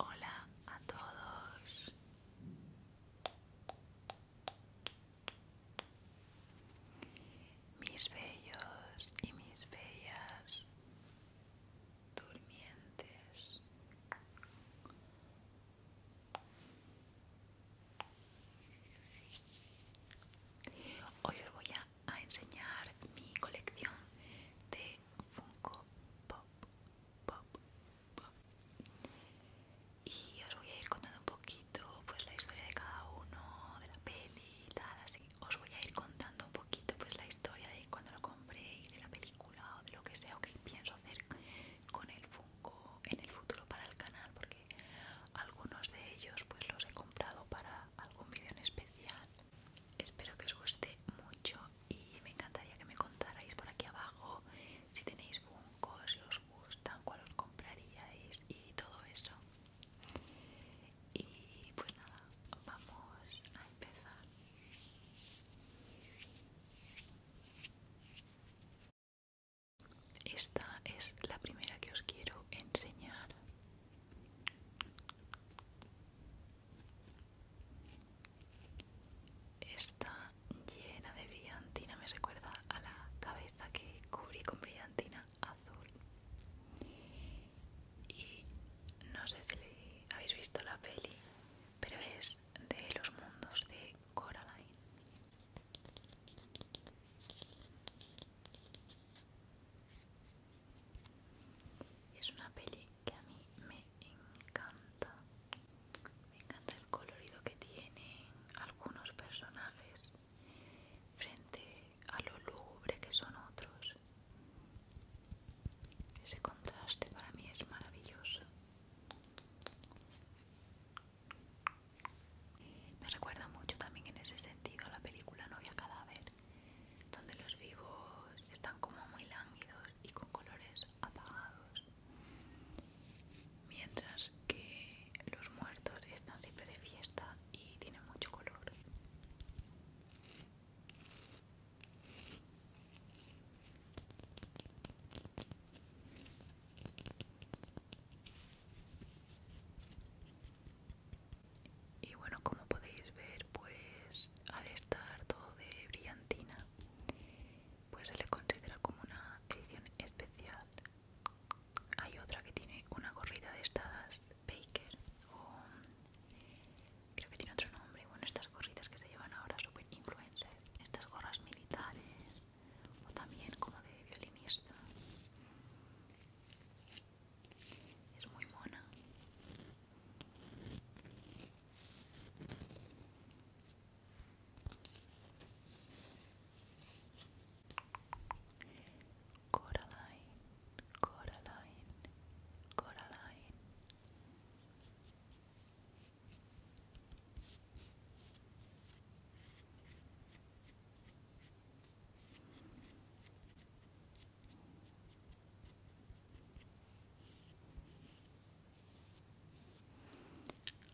Hola a todos mis bellos y mis bellas durmientes. Hoy os voy a, enseñar mi colección de Funko Pop, Pop, Pop. Y os voy a ir contando un poquito pues la historia de cada uno, de la peli y tal, así os voy a ir contando un poquito pues la historia de cuando lo compré y de la película o de lo que sea o que pienso hacer con el Funko en el futuro para el canal porque algunos de ellos pues los he comprado para algún vídeo en especial. Espero que os guste mucho y me encantaría que me contarais por aquí abajo si tenéis Funko, si os gustan, cuál os compraríais y todo eso. Y pues nada, vamos a empezar. Esta es la primera que os quiero enseñar. Está llena de brillantina, me recuerda a la cabeza que cubrí con brillantina azul y no sé si habéis visto la peli pero es de los mundos de Coraline es una peli que a mí me encanta me encanta el colorido que tienen algunos personajes frente a lo lúgubre que son otros. Ese contraste para mí es maravilloso. Me recuerda mucho también en ese sentido la película Novia Cadáver, donde los vivos están como muy lánguidos y con colores apagados, mientras que los muertos están siempre de fiesta y tienen mucho color. Y bueno, como podéis ver, pues al estar todo de brillantina, pues se le considera como una edición especial hay otra que tiene una gorrita de estas Baker o creo que tiene otro nombre. Bueno, estas gorritas que se llevan ahora super influencer. Estas gorras militares o también como de violinista. Es muy mona. Coraline, Coraline, Coraline.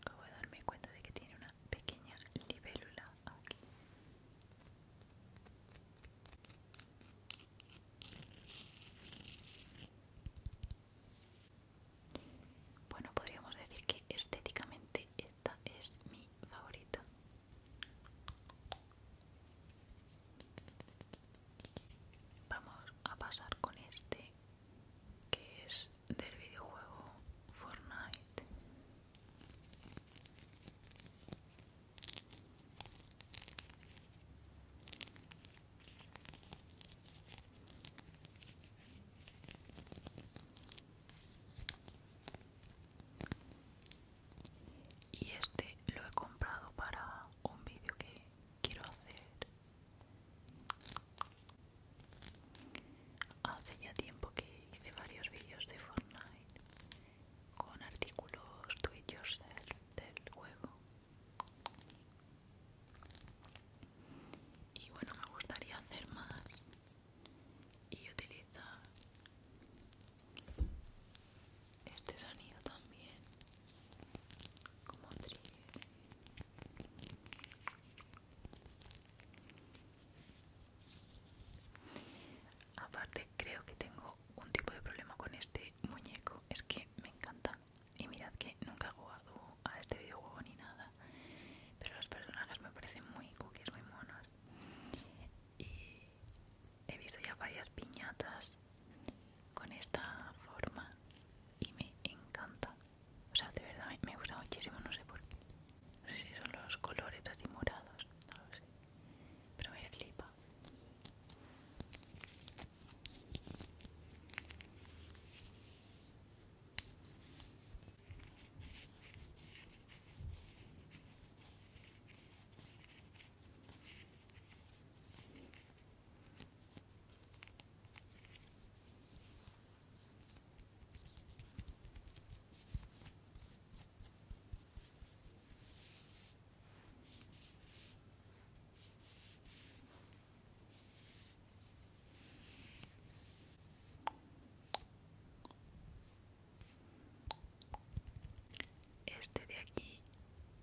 Acabo de darme cuenta de que tiene una pequeña libélula bueno, podríamos decir que estéticamente esta es mi favorita. Vamos a pasar con este que es del videojuego Fortnite. Y este lo he comprado para un vídeo que quiero hacer Hace ya tiempo que hice varios vídeos de Fortnite con artículos tuitos del juego. Y bueno, me gustaría hacer más y utilizar este sonido también como trigger Aparte creo que tengo un tipo de problema con este muñeco, es que me encanta. Y mirad que nunca he jugado a este videojuego ni nada, pero los personajes me parecen muy cookies, muy monos. Y he visto ya varias piñatas con esta forma y me encanta. O sea, de verdad me gusta muchísimo, no sé por qué. No sé si son los colores así morados, no lo sé. Pero me flipa. Este de aquí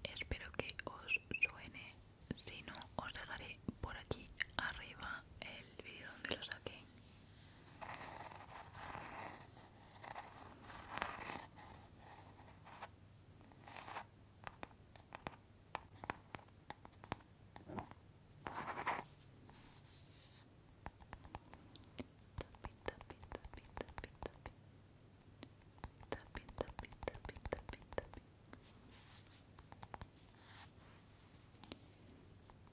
espero que os suene, si no os dejaré por aquí arriba el video donde lo saqué. Tapi tapi tapi tapi tapi tapi tapi tapi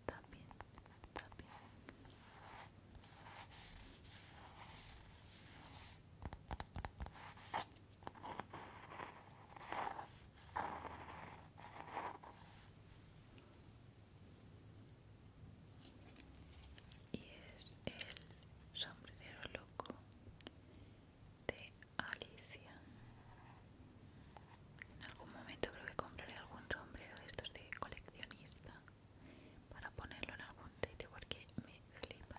también, también. Y es el sombrero loco de Alicia. En algún momento creo que compraré algún sombrero de estos de coleccionista para ponerlo en algún sitio porque me flipan.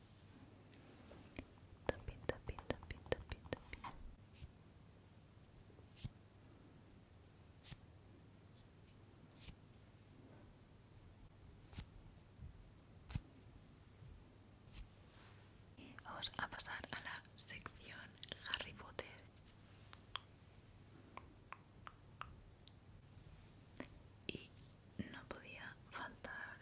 Vamos a pasar a la sección Harry Potter. Y no podía faltar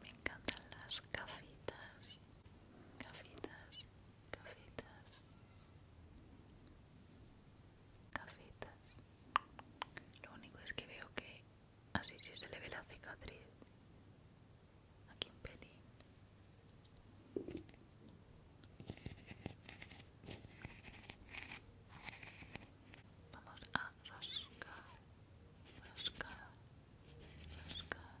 me encantan las cafitas, cafitas gafitas, gafitas. Lo único es que veo que así sí se le ve la cicatriz. Aquí un pelín. Vamos a rascar, rascar, rascar.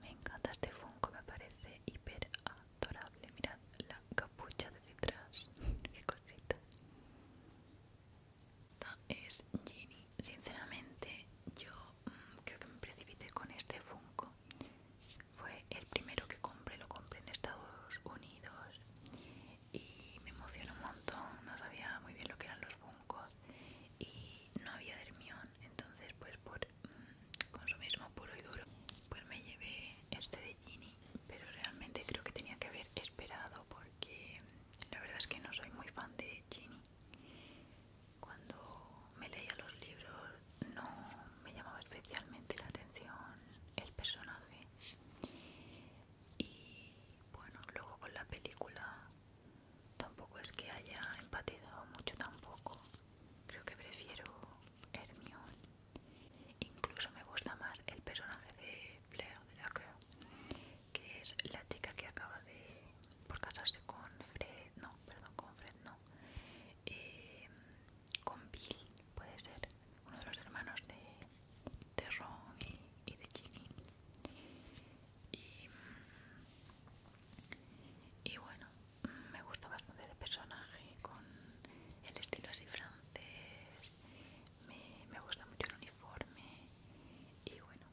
Me encanta este funko, me parece hiper adorable. Mirad la capucha de detrás, qué cosita. Esta es Genie Sinceramente, yo mm, creo que me precipité con este funko fue el primero que compré, lo compré en Estados Unidos y me emocionó un montón, no sabía muy bien lo que eran los funcos y no había Dermión, entonces pues por mm, su mismo puro y duro pues me llevé este de Ginny, pero realmente creo que tenía que haber esperado porque mm, la verdad es que no soy muy fan de Ginny. Cuando me leía los libros no me llamaba especialmente la atención el personaje y bueno luego con la película tampoco es que haya empatizado mucho tampoco creo que prefiero Hermione incluso me gusta más el personaje de Blair de que, que es la chica que acaba de por casarse con Fred no perdón con Fred no eh, con Bill, puede ser uno de los hermanos de, Ron y, de Ginny. Y, bueno, me gusta bastante el personaje con el estilo así francés. Me, me gusta mucho el uniforme. Y bueno,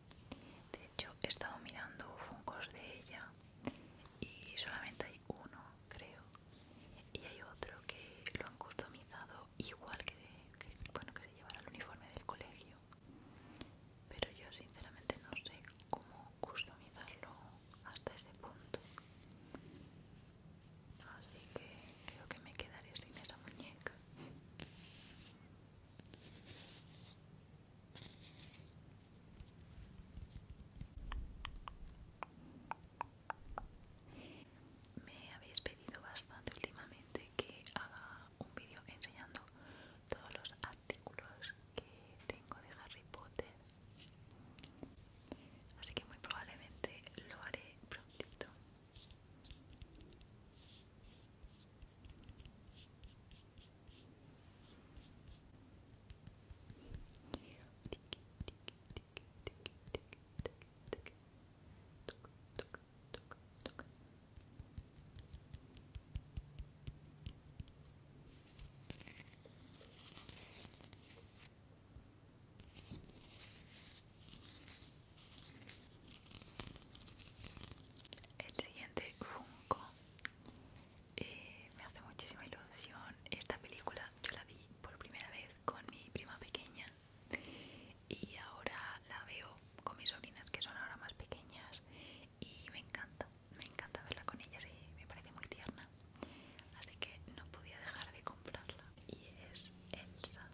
de hecho he estado mirando Funkos de ella y solamente hay uno creo y hay otro que lo han customizado igual que, que bueno que se llevará el uniforme del colegio pero yo sinceramente no sé cómo customizarlo hasta ese punto así que creo que me quedaré sin esa muñeca me habéis pedido bastante últimamente que haga un vídeo enseñando todos los artículos que tengo de Harry Potter. Así que muy probablemente lo haré prontito. El siguiente fungo eh, me hace muchísima ilusión. Esta película yo la vi por primera vez con mi prima pequeña y ahora la veo con mis sobrinas que son ahora más pequeñas y me encanta, me encanta verla con ellas y me parece muy tierna. Así que no podía dejar de comprarla y es Elsa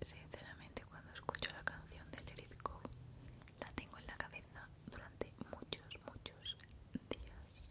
y sinceramente cuando escucho la canción de Let la tengo en la cabeza durante muchos, muchos días.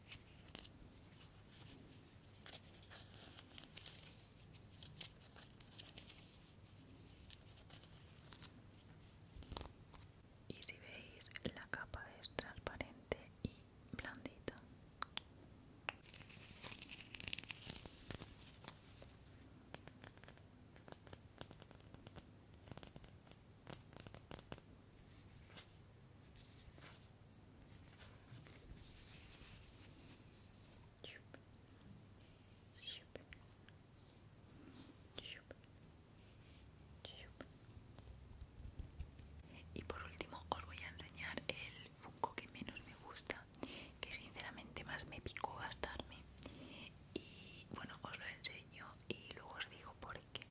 Y si veis, la capa es transparente y blandita. Y por último os voy a enseñar el funko que menos me gusta, que sinceramente más me picó gastarme. Y bueno, os lo enseño y luego os digo por qué.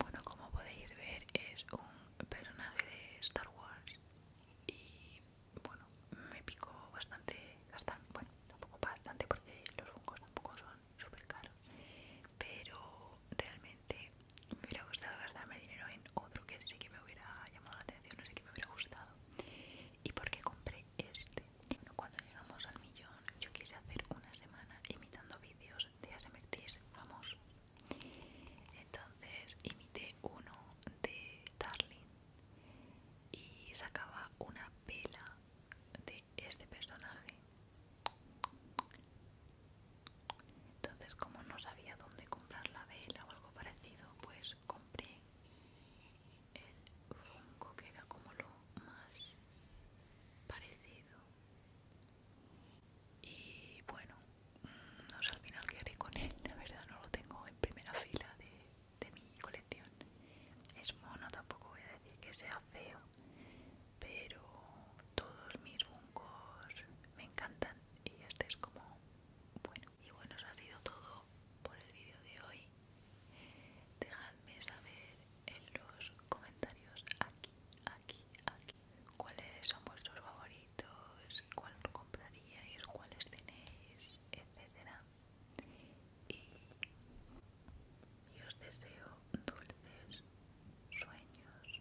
Bueno, como podéis ver, es un personaje de Star Wars y bueno, me picó bastante, bastante bueno, tampoco bastante porque los funcos tampoco son súper caros, pero realmente me hubiera gustado gastarme dinero en otro que sí que me hubiera llamado la atención, no sé que me hubiera gustado. ¿Y por qué compré este? Cuando llegamos al millón, yo quise hacer una semana imitando vídeos de ASMRTs famosos. Entonces imité uno de Darling y sacaba una vela de este personaje. Entonces, como no sabía dónde comprar la vela o algo parecido, pues compré el fungo que era como lo más parecido y bueno no sé al final qué haré con él la verdad no lo tengo en primera fila de, mi colección es mono tampoco voy a decir que sea feo pero todos mis fungos me encantan y este es como bueno y bueno, eso ha sido todo por el vídeo de hoy. Dejadme saber en los comentarios aquí, aquí, aquí, cuáles son vuestros favoritos, cuál compraríais, cuáles tenéis, etcétera. Y, y os deseo dulces sueños.